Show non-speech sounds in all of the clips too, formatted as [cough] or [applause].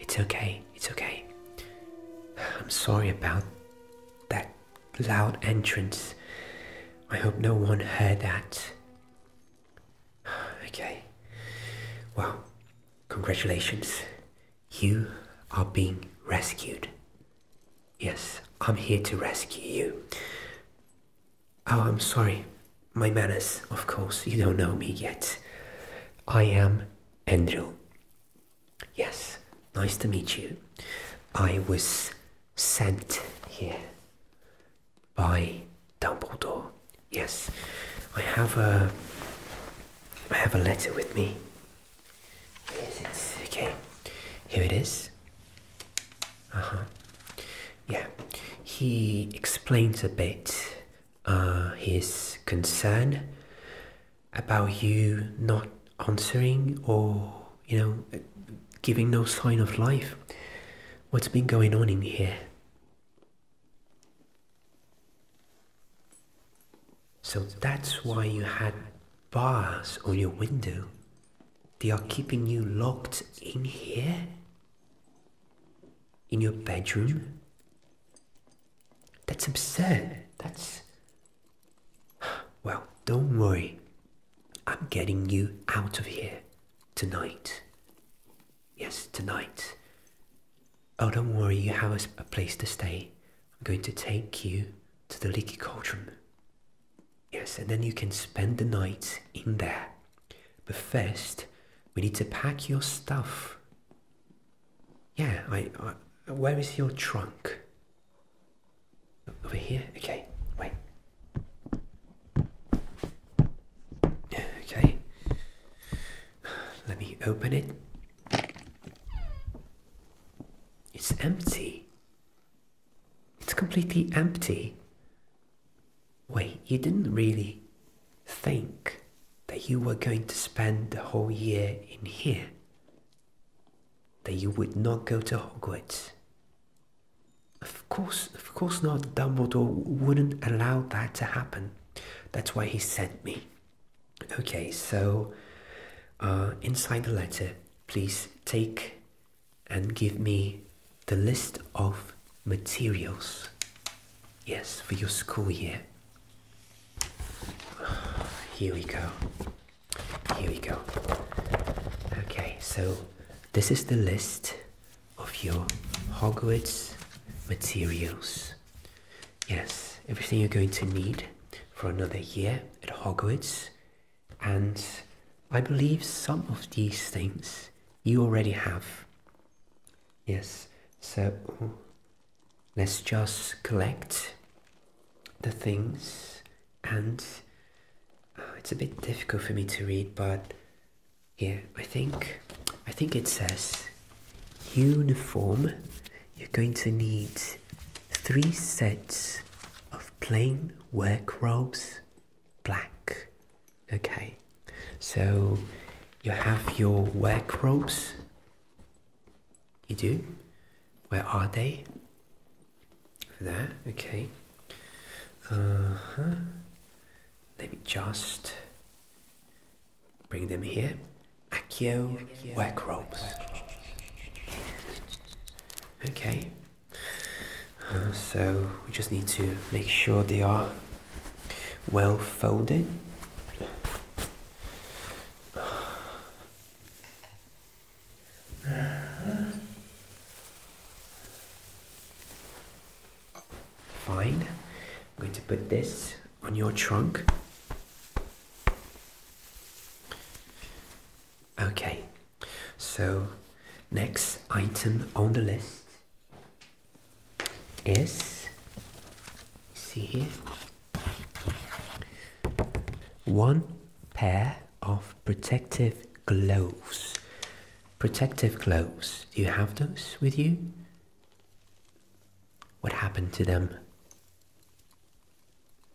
It's okay, it's okay. I'm sorry about that loud entrance. I hope no one heard that. Okay. Well, congratulations. You are being rescued. Yes, I'm here to rescue you. Oh, I'm sorry. My manners, of course. You don't know me yet. I am Andrew. Yes, nice to meet you. I was sent here by Dumbledore. Yes, I have a I have a letter with me. Yes, okay, here it is. Uh -huh. Yeah, he explains a bit uh, his concern about you not answering or, you know, giving no sign of life. What's been going on in here? So that's why you had bars on your window. They are keeping you locked in here? In your bedroom? That's absurd. That's. Well, don't worry. I'm getting you out of here tonight. Yes, tonight. Oh, don't worry, you have a, a place to stay. I'm going to take you to the leaky cauldron. Yes, and then you can spend the night in there. But first, we need to pack your stuff. Yeah, I, where is your trunk? Over here? Okay, wait. Okay. Let me open it. It's empty. It's completely empty. Wait, you didn't really think that you were going to spend the whole year in here? That you would not go to Hogwarts? Of course, of course not. Dumbledore wouldn't allow that to happen. That's why he sent me. Okay, so uh, inside the letter, please take and give me the list of materials. Yes, for your school year. [sighs] Here we go. Here we go. Okay, so this is the list of your Hogwarts materials. Yes, everything you're going to need for another year at Hogwarts and I believe some of these things you already have. Yes, so let's just collect the things and uh, it's a bit difficult for me to read but yeah I think I think it says uniform you're going to need three sets of plain work robes black. Okay, so you have your work robes. You do? Where are they? There, okay. Uh huh. Maybe just bring them here. Accio work robes. Okay so we just need to make sure they are well folded. Fine. I'm going to put this on your trunk. Okay. So, next item on the list is see here one pair of protective gloves. Protective gloves. Do you have those with you? What happened to them?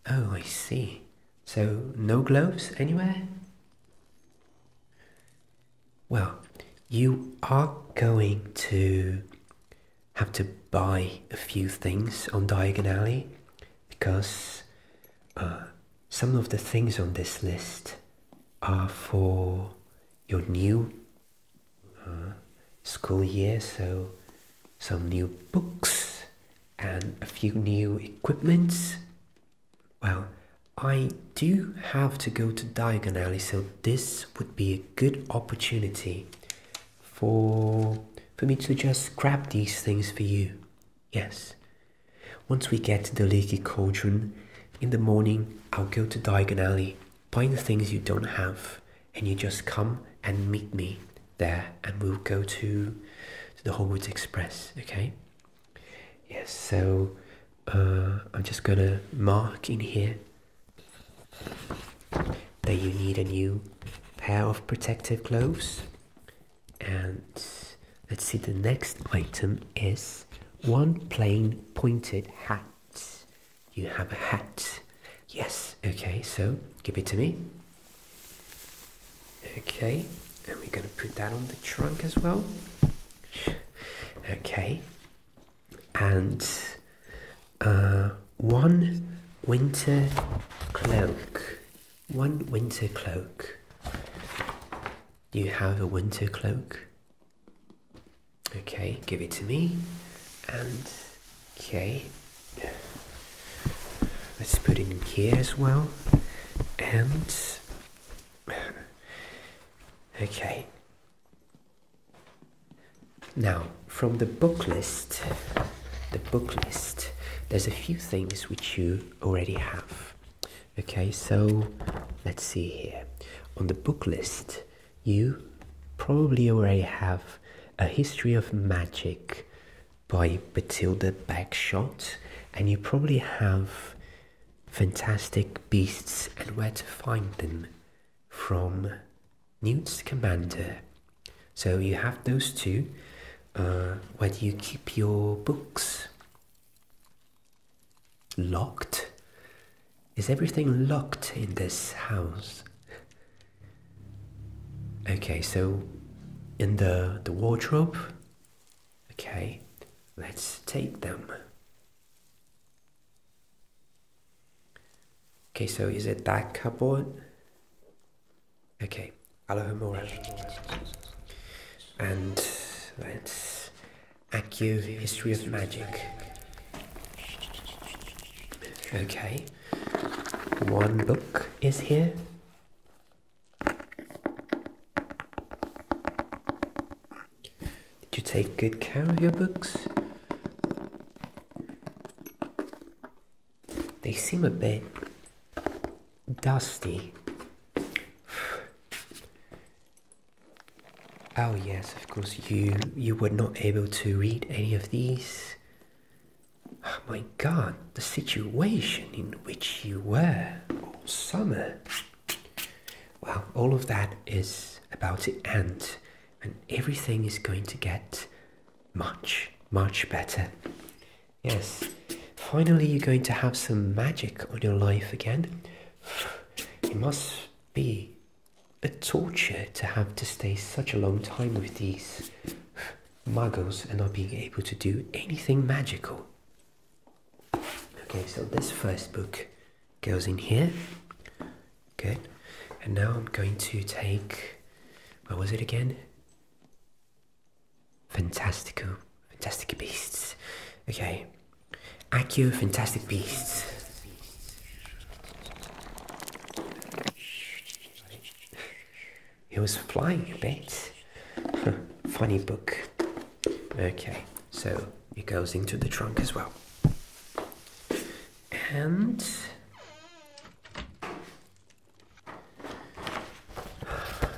Oh, I see. So, no gloves anywhere? Well, you are going to have to buy a few things on Diagon Alley because uh, some of the things on this list are for your new uh, school year, so some new books and a few new equipments well, I do have to go to Diagon Alley, so this would be a good opportunity for for me to just grab these things for you. Yes. Once we get to the leaky cauldron, in the morning I'll go to Diagon Alley, find the things you don't have, and you just come and meet me there and we'll go to the Hogwarts Express, okay? Yes, so uh, I'm just gonna mark in here that you need a new pair of protective gloves. And let's see, the next item is one plain pointed hat. You have a hat. Yes, okay, so give it to me. Okay, and we're going to put that on the trunk as well. Okay, and uh, one winter cloak. One winter cloak. Do you have a winter cloak? Okay, give it to me. And okay. Let's put in here as well. And okay. Now, from the book list, the book list, there's a few things which you already have. Okay, so let's see here. On the book list, you probably already have a history of magic by Batilda Bagshot, and you probably have Fantastic Beasts and Where to Find Them from Newt's Commander. So you have those two. Uh, where do you keep your books? Locked? Is everything locked in this house? Okay, so in the, the wardrobe, Okay, let's take them. Okay, so is it that cupboard? Okay, Alohomora. And let's Accu History of Magic. Okay, one book is here. Did you take good care of your books? They seem a bit dusty. Oh yes, of course you you were not able to read any of these. Oh my god, the situation in which you were all summer. Well, all of that is about to end, and everything is going to get much, much better. Yes, finally, you're going to have some magic on your life again. It must be a torture to have to stay such a long time with these muggles and not being able to do anything magical. Okay, so this first book goes in here. Good. And now I'm going to take, what was it again? Fantastical, Fantastic Beasts. Okay. Accio Fantastic Beasts. He was flying a bit. [laughs] Funny book. Okay, so it goes into the trunk as well. And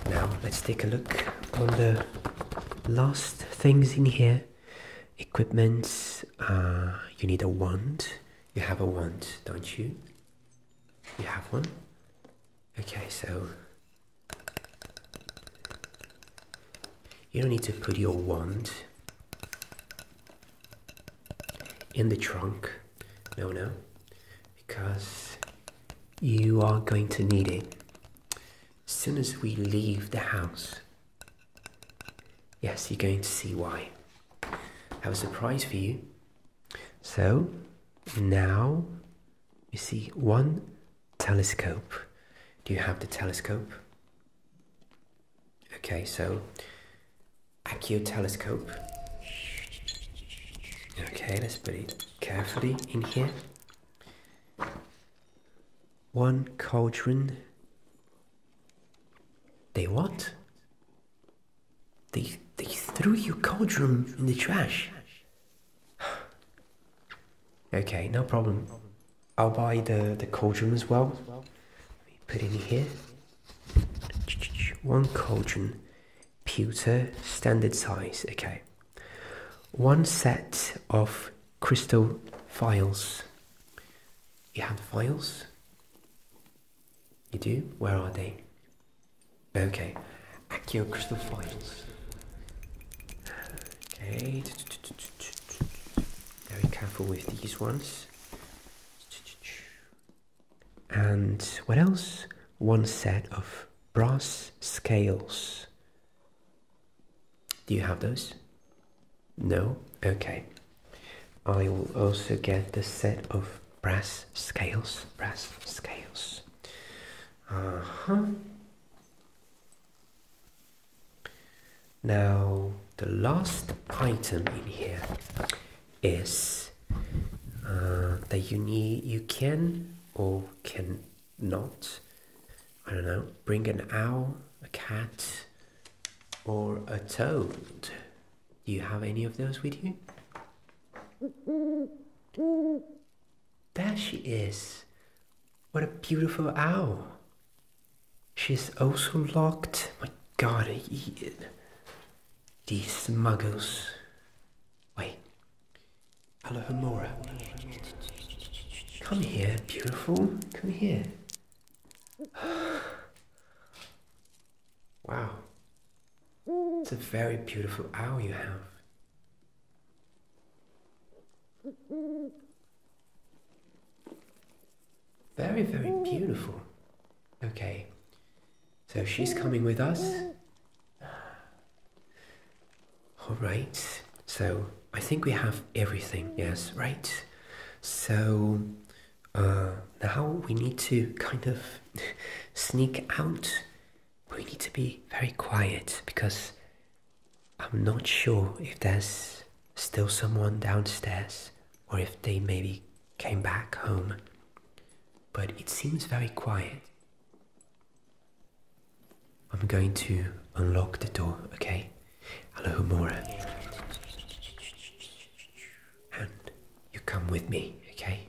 now let's take a look on the last things in here. Equipment. Uh, you need a wand. You have a wand, don't you? You have one. Okay, so you don't need to put your wand in the trunk. No, no, because you are going to need it as soon as we leave the house. Yes, you're going to see why. I have a surprise for you. So now you see one telescope. Do you have the telescope? Okay, so Accu telescope. Okay, let's put it carefully in here. One cauldron. They what? They, they threw your cauldron in the trash. [sighs] okay, no problem. I'll buy the, the cauldron as well. Let me put in here. One cauldron. Pewter, standard size. Okay. One set of crystal files. You have files? You do? Where are they? Okay. Accio crystal files. Okay. Very careful with these ones. And what else? One set of brass scales. Do you have those? No? Okay. I will also get the set of brass scales, brass scales. Uh huh. Now, the last item in here is uh, that you need, you can or cannot, I don't know, bring an owl, a cat, or a toad. Do you have any of those with you? There she is. What a beautiful owl. She's also locked. My god, I eat it. These smuggles. Wait. Alohomora. Come here, beautiful. Come here. Wow. It's a very beautiful owl you have. Very, very beautiful. Okay. So she's coming with us. All right. So I think we have everything. Yes, right. So uh, now we need to kind of sneak out, we need to be very quiet because I'm not sure if there's still someone downstairs or if they maybe came back home. But it seems very quiet. I'm going to unlock the door, okay? Hello, Mora. And you come with me, okay?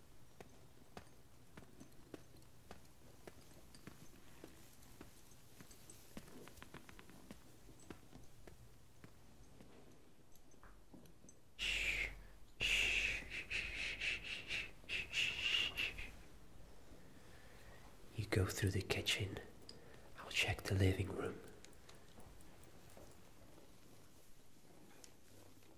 You go through the kitchen, I'll check the living room.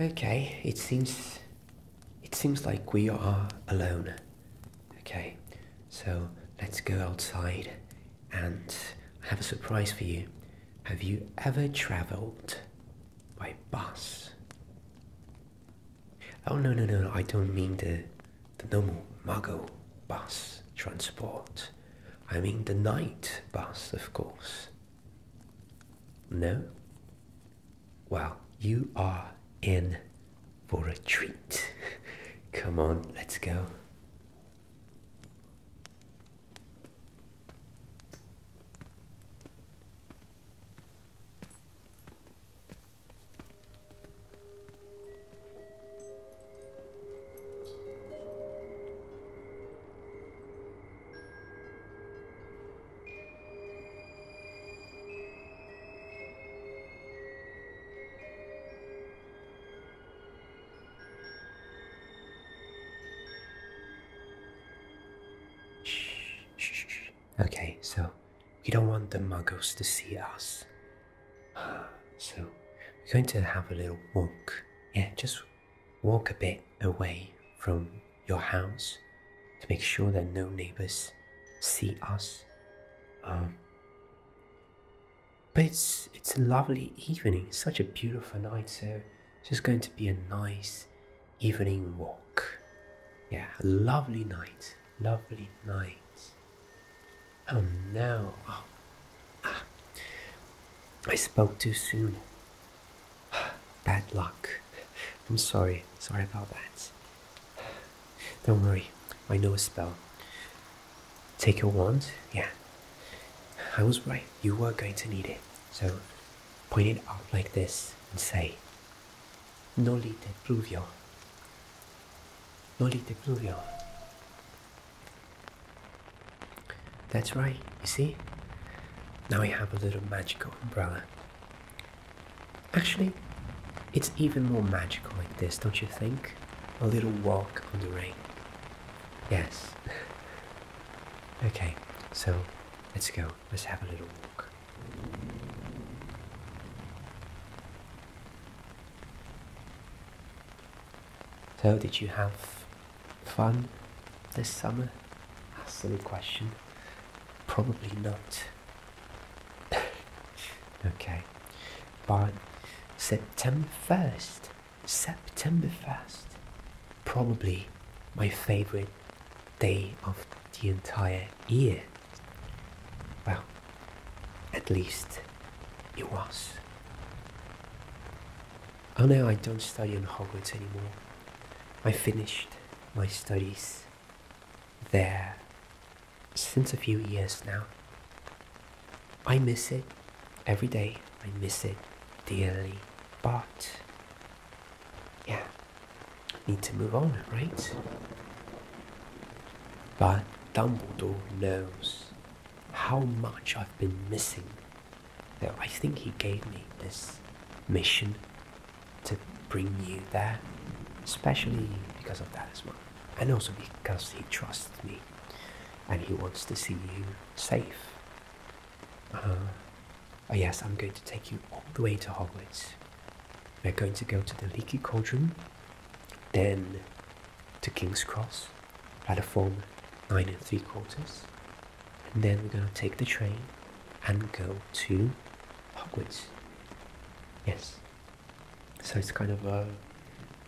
Okay, it seems it seems like we are alone. Okay, so let's go outside and have a surprise for you. Have you ever traveled by bus? Oh no no no, I don't mean the the normal Muggle bus transport. I mean the night bus, of course. No? Well, you are in for a treat. [laughs] Come on, let's go. Okay, so we don't want the muggles to see us. [sighs] So we're going to have a little walk. Yeah, just Walk a bit away from your house to make sure that no neighbors see us. Um, but it's, it's a lovely evening, such a beautiful night, so it's just going to be a nice evening walk. Yeah, lovely night, lovely night. Oh no, ah, ah. I spoke too soon. [sighs] Bad luck. I'm sorry. Sorry about that. Don't worry. I know a spell. Take your wand. Yeah. I was right. You were going to need it. So point it up like this and say, "Nolite te pluvio. Noli pluvio. That's right, you see? Now I have a little magical umbrella. Actually, it's even more magical like this, don't you think? A little walk on the rain. Yes. [laughs] okay, so let's go. Let's have a little walk. So, did you have fun this summer? A silly question. Probably not. [laughs] okay. But September 1st, September 1st, probably my favorite day of the entire year. Well, at least it was. Oh no, I don't study in Hogwarts anymore. I finished my studies there since a few years now. I miss it every day. I miss it dearly. But yeah, need to move on, right? But Dumbledore knows how much I've been missing I think He gave me this mission to bring you there, especially because of that as well. And also because He trusts me and He wants to see you safe. Uh-huh. Oh, yes, I'm going to take you all the way to Hogwarts. We're going to go to the Leaky Cauldron, then to King's Cross platform 9 and 3 quarters. And then we're going to take the train and go to Hogwarts. Yes. So it's kind of an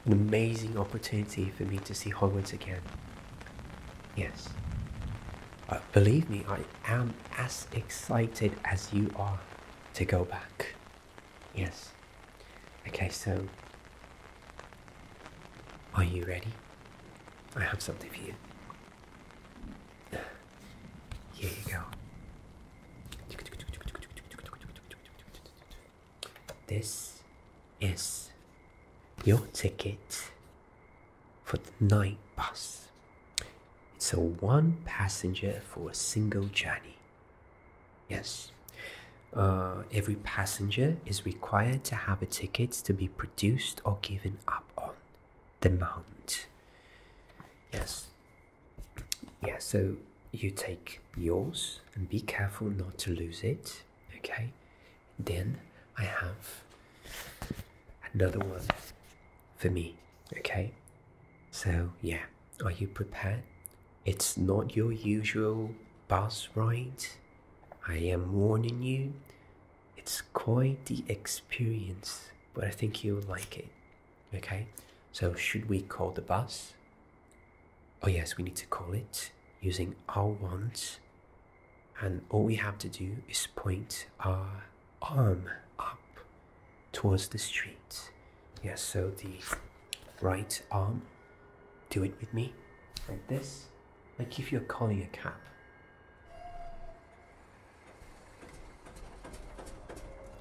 amazing opportunity for me to see Hogwarts again. Yes. Uh, believe me, I am as excited as you are to go back. Yes. Okay, so are you ready? I have something for you. Here you go. This is your ticket for the night bus. It's a one passenger for a single journey. Yes, uh, every passenger is required to have a ticket to be produced or given up on the mount. Yes. Yeah, so you take yours and be careful not to lose it. Okay. Then I have another one for me. Okay. So, yeah, are you prepared? It's not your usual bus ride I am warning you, it's quite the experience, but I think you'll like it. Okay, so should we call the bus? Oh, yes, we need to call it using our wands, and all we have to do is point our arm up towards the street. Yes, so the right arm, do it with me, like this. I give you a collie a cap.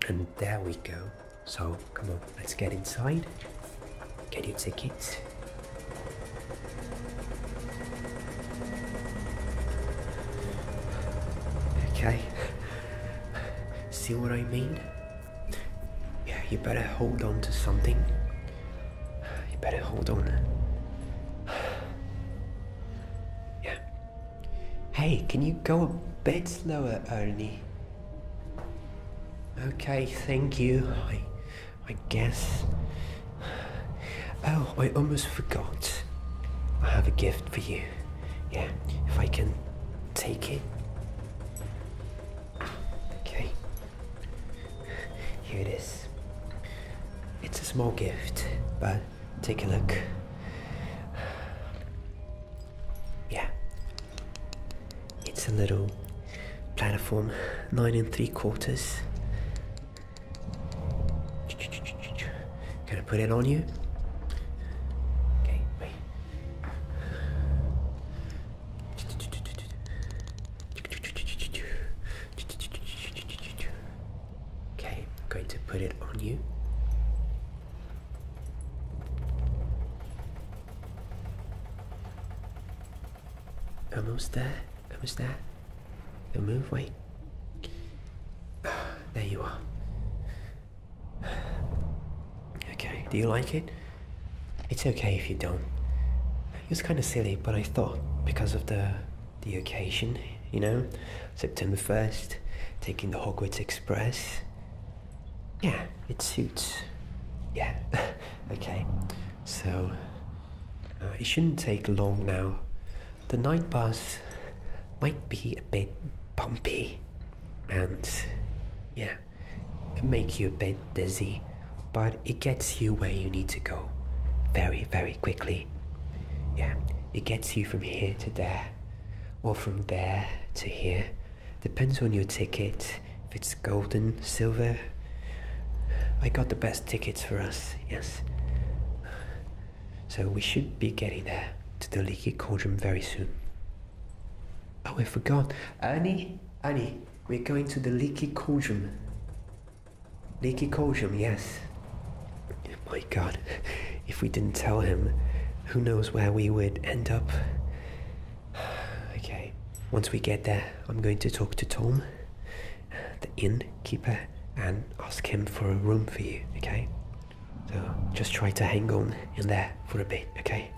And there we go. So come on, let's get inside. Get your tickets. Okay. See what I mean? Yeah, you better hold on to something you better hold on. Yeah. Hey, can you go a bit slower, Ernie? Okay, thank you. I, I guess. Oh, I almost forgot. I have a gift for you. Yeah, if I can take it. Okay. Here it is. It's a small gift, but take a look. Yeah. It's a little platform, nine and three quarters. Can I put it on you? Okay, wait. Okay, I'm going to put it on you. Almost there, almost there. do move, wait. There you are. [sighs] Okay, do you like it? It's okay if you don't. It was kind of silly, but I thought because of the the occasion, you know, September 1st, taking the Hogwarts Express. Yeah, it suits. Yeah, [laughs] okay. So, uh, it shouldn't take long now. The night bus might be a bit bumpy, and yeah, it make you a bit dizzy, but it gets you where you need to go very, very quickly. Yeah, it gets you from here to there, or from there to here. Depends on your ticket, if it's golden, silver. I got the best tickets for us, yes. So we should be getting there to the leaky cauldron very soon. Oh, I forgot. Annie, Annie, we're going to the leaky cauldron. Leaky cauldron, yes. my god, if we didn't tell him, who knows where we would end up. [sighs] okay, once we get there, I'm going to talk to Tom, the innkeeper, and ask him for a room for you, okay? So just try to hang on in there for a bit, okay?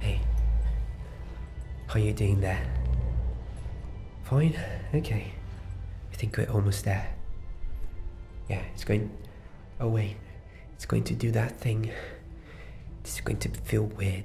Hey, how are you doing there? Fine, okay. I think we're almost there. Yeah, it's going. away. Oh it's going to do that thing. It's going to feel weird.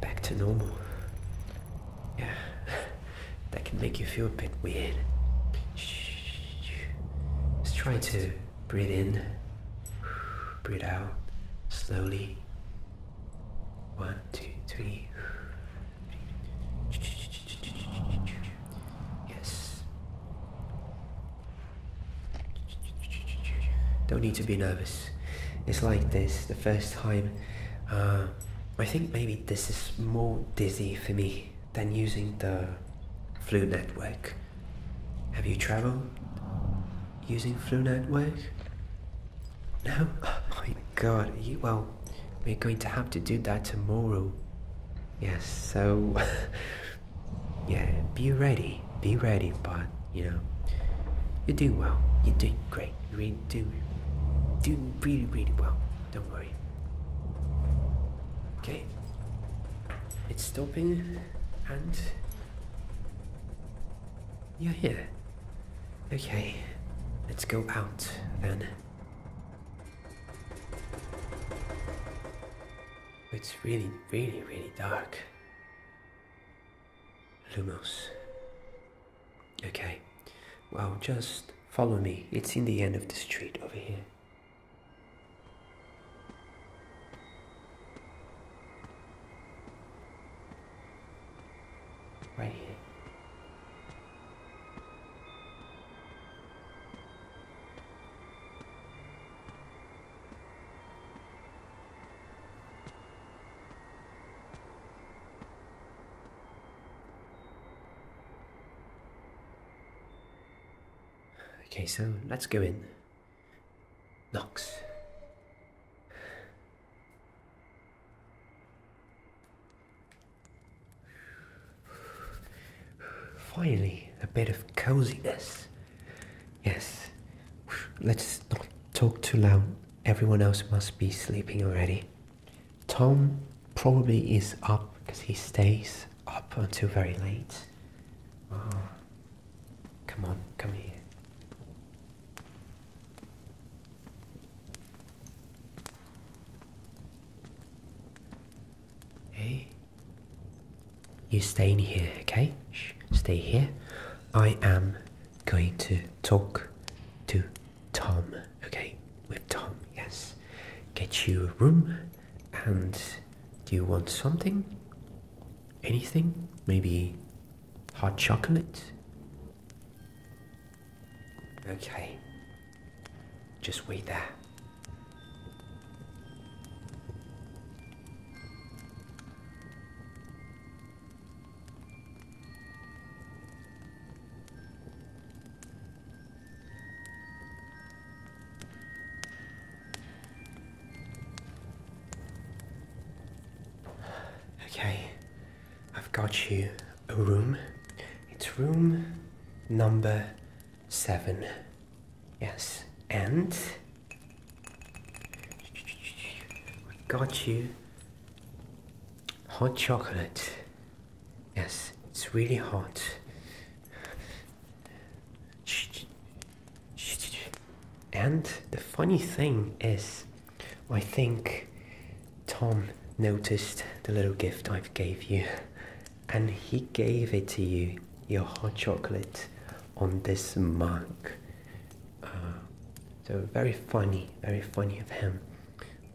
back to normal. Yeah, [laughs] that can make you feel a bit weird. Just try to breathe in, breathe out slowly. One, two, three. Yes. Don't need to be nervous. It's like this the first time. Uh, I think maybe this is more dizzy for me than using the flu network. Have you traveled using flu network? No? [laughs] Oh my god, well, we're going to have to do that tomorrow. Yes, so. [laughs] yeah, be ready. Be ready, but, you know, you do well. You're doing great. You are doing doing really, really well. Don't worry. Okay. It's stopping and you're here. Okay. Let's go out then. It's really, really, really dark. Lumos. Okay, well, just follow me. It's in the end of the street over here. Right here. Okay, so let's go in. Knox. Finally, a bit of coziness. Yes. Let's not talk too loud. Everyone else must be sleeping already. Tom probably is up because he stays up until very late. Oh, come on, come here. Hey. You stay in here, okay? Stay here. I am going to talk to Tom. Okay, with Tom, yes. Get you a room and do you want something? Anything? Maybe hot chocolate? Okay. Just wait there. Okay, I've got you a room. It's room number seven. Yes, and I got you hot chocolate. Yes, it's really hot. And the funny thing is, I think Tom noticed the little gift I have gave you and he gave it to you, your hot chocolate, on this mug. Uh, so very funny, very funny of him.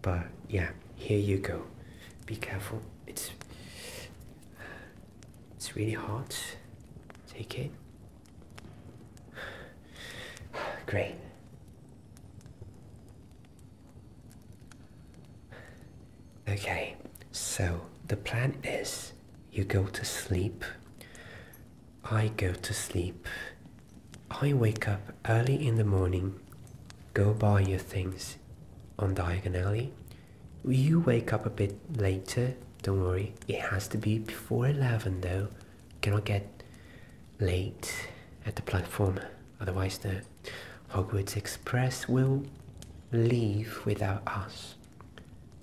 But yeah, here you go. Be careful. It's it's really hot. Take it. [sighs] Great. Okay, so the plan is you go to sleep, I go to sleep. I wake up early in the morning, go buy your things on Diagon Alley. You wake up a bit later, don't worry. It has to be before 11 though. Cannot get late at the platform, otherwise the Hogwarts Express will leave without us.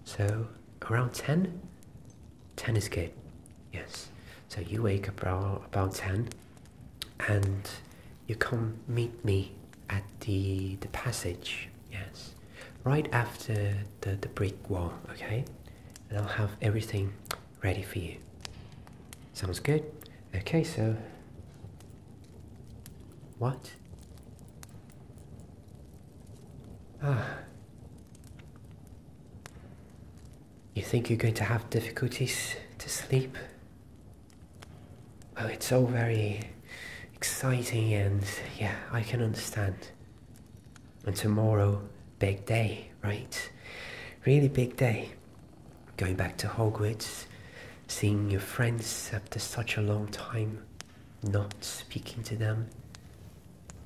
So around 10, Tennis kid, yes. So you wake up around about 10 and you come meet me at the, the passage, yes. Right after the, the brick wall, okay? And I'll have everything ready for you. Sounds good? Okay, so... What? Ah. You think you're going to have difficulties to sleep? Well, it's all very exciting and yeah, I can understand. And tomorrow, big day, right? Really big day. Going back to Hogwarts, seeing your friends after such a long time, not speaking to them,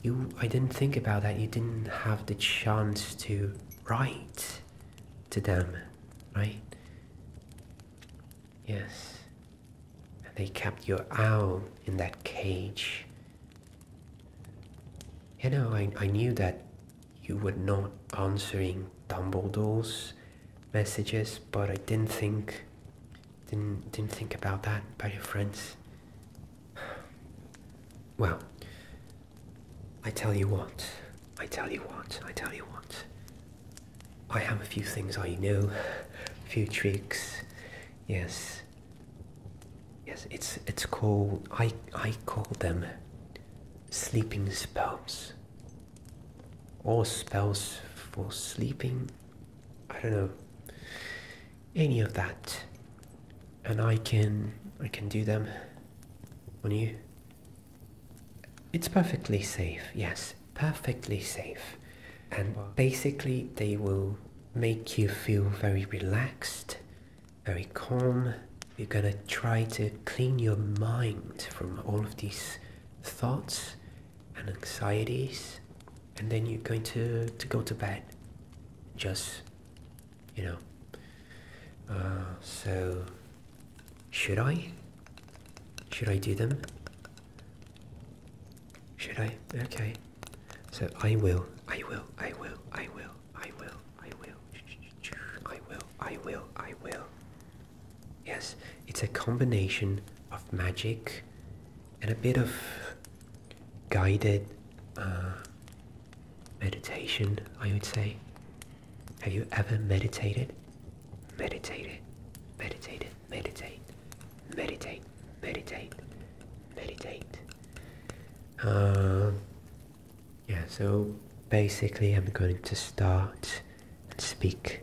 you, I didn't think about that. You didn't have the chance to write to them, right? Yes. And they kept your owl in that cage. You know, I, I knew that you were not answering Dumbledore's messages, but I didn't think didn't didn't think about that about your friends. Well, I tell you what, I tell you what, I tell you what. I have a few things I know, a few tricks. Yes. Yes, it's it's called I I call them sleeping spells. Or spells for sleeping. I don't know any of that and I can I can do them on you it's perfectly safe yes perfectly safe and basically they will make you feel very relaxed very calm you're gonna try to clean your mind from all of these thoughts and anxieties and then you're going to, to go to bed just you know uh, so should i should i do them should i okay so i will i will i will i will i will i will i will i will i will yes it's a combination of magic and a bit of guided uh, meditation, I would say. Have you ever meditated? Meditated, meditated, meditate, meditate, meditate, meditate. Uh, yeah, so basically I'm going to start and speak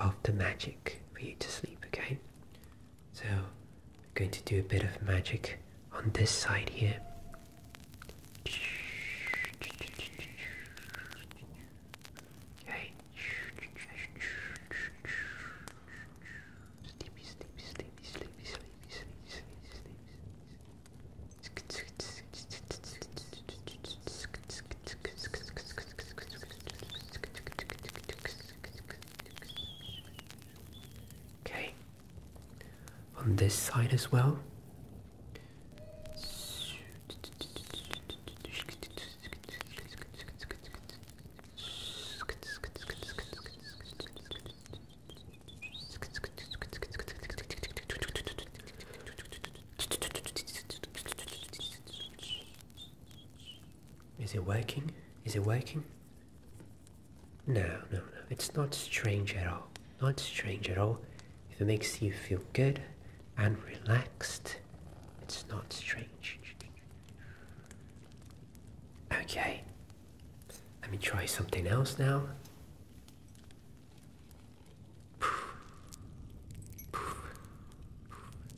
of the magic for you to sleep, okay? So, I'm going to do a bit of magic on this side here. Okay, on this side as well. Is it working? Is it working? No, no, no. It's not strange at all. Not strange at all. If it makes you feel good and relaxed, it's not strange. Okay. Let me try something else now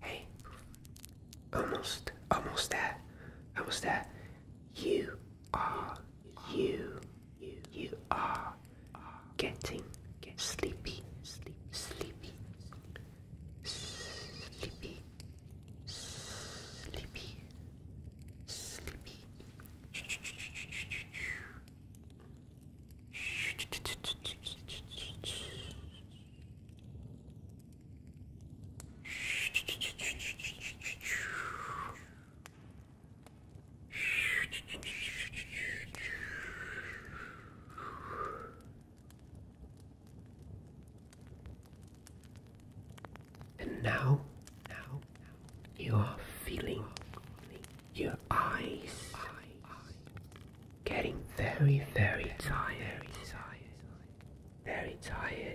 Hey, almost, almost that, almost there, You are you? You are getting sleepy, sleep, sleepy, sleepy, sleepy, sleepy. And now, now you are feeling your eyes getting very, very tired, very tired.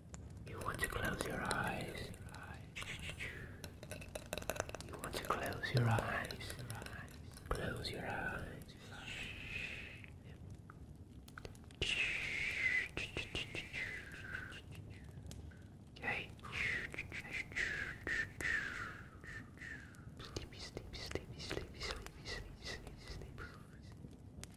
You want to close your eyes. You want to close your eyes. Close your eyes. Okay. Sleepy, sleepy, sleepy, sleepy, sleepy, sleepy, sleepy, sleepy.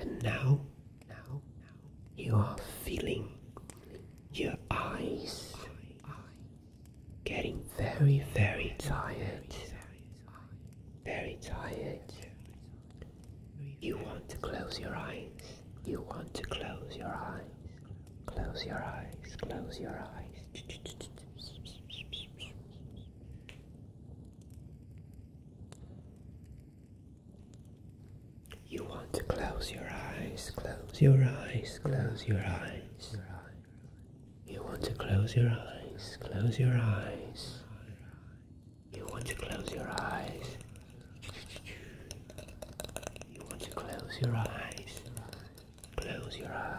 And now, now, now you are feeling your eyes getting very, very tired very tired. You want to close your eyes. You want to close your eyes. Close your eyes. Close your eyes. You want to close your eyes. Close your eyes. Close your eyes. You want to close your eyes, close your eyes. You want to close your eyes. You want to close your eyes, close your eyes.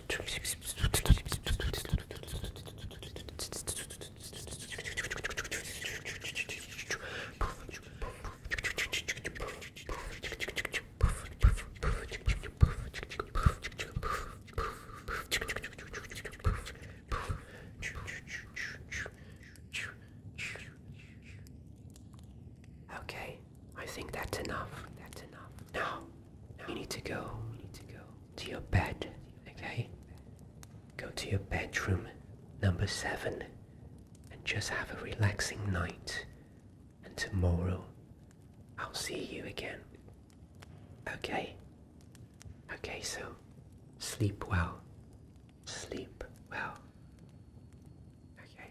Okay, I think that's enough. That's enough. Now, you need to go to your bed, okay? Go to your bedroom, number seven, and just have a relaxing night. And tomorrow, I'll see you again. Okay? Okay, so sleep well. Sleep well. Okay?